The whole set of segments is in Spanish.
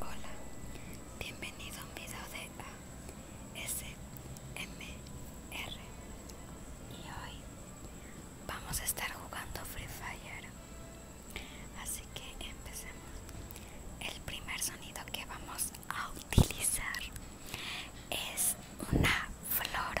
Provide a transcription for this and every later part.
Hola, bienvenido a un video de ASMR y hoy vamos a estar jugando Free Fire, así que empecemos. El primer sonido que vamos a utilizar es una flor.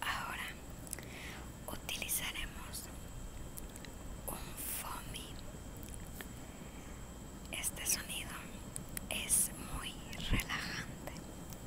Ahora utilizaremos un foamy. Este sonido es muy relajante.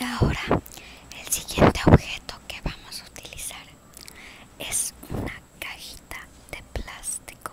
Y Ahora, el siguiente objeto que vamos a utilizar es una cajita de plástico.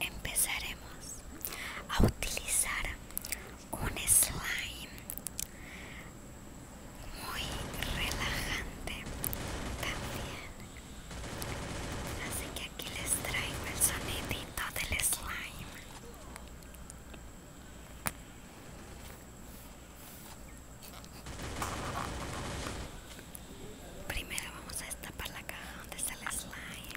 empezaremos a utilizar un slime muy relajante también así que aquí les traigo el sonidito del slime Primero vamos a destapar la caja donde está el slime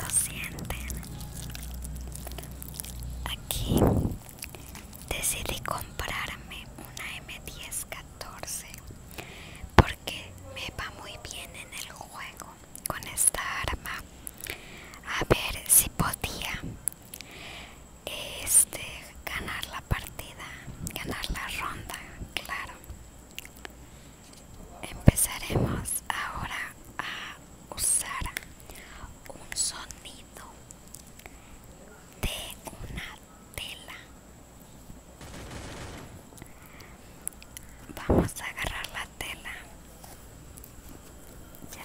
lo sienten aquí decidí comprarme una M1014 porque me va muy bien en el juego con esta arma a ver si podía este ganar la partida ganar la ronda claro empezaremos ahora a usar un sonido de una tela vamos a agarrar la tela ya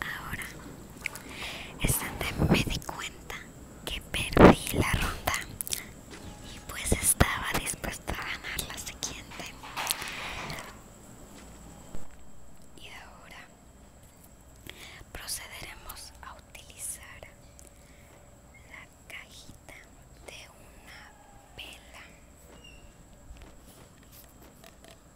Ahora es donde me di cuenta que perdí la ronda y pues estaba dispuesta a ganar la siguiente. Y ahora procederemos a utilizar la cajita de una vela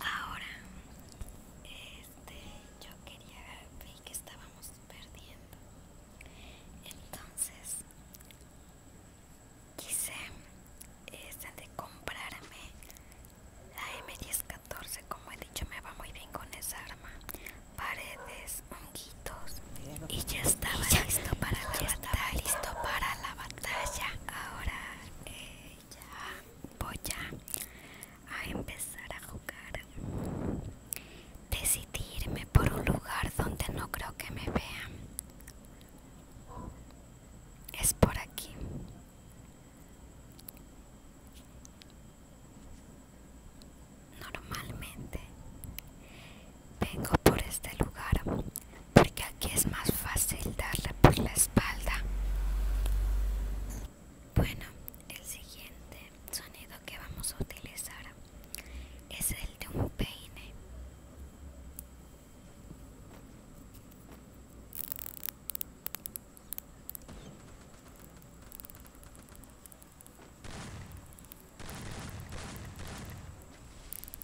Ahora, este, yo quería ver que estábamos perdiendo. Entonces, quise este, de comprarme la M1014, como he dicho, me va muy bien con esa arma. Paredes, honguitos y ya estaba listo para la batalla. Listo para la batalla. Ahora eh, ya voy a, a empezar a jugar. Decidirme por un lugar donde no creo que me vean. Es por aquí. Normalmente vengo por este lugar porque aquí es más fácil darle por la espalda bueno el siguiente sonido que vamos a utilizar es el de un peine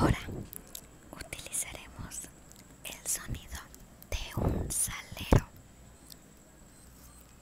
Ahora utilizaremos el sonido de un salero.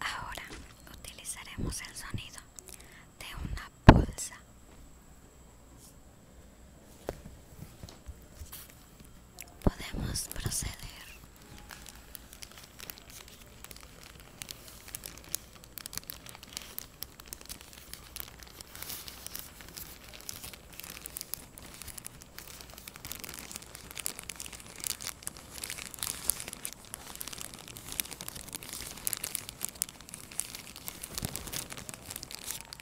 Ahora utilizaremos el sonido de una bolsa Podemos proceder.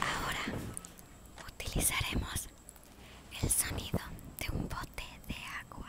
Ahora utilizaremos el sonido de un bote de agua.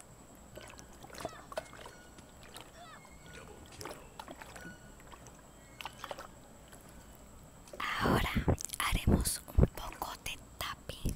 Ahora haremos un poco de tapping.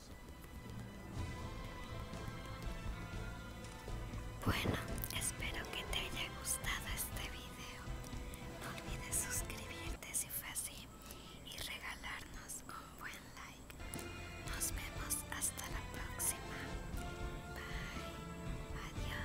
Bueno, espero que te haya gustado este video. No olvides suscribirte si fue así y regalarnos un buen like. Nos vemos hasta la próxima. Bye. Adiós.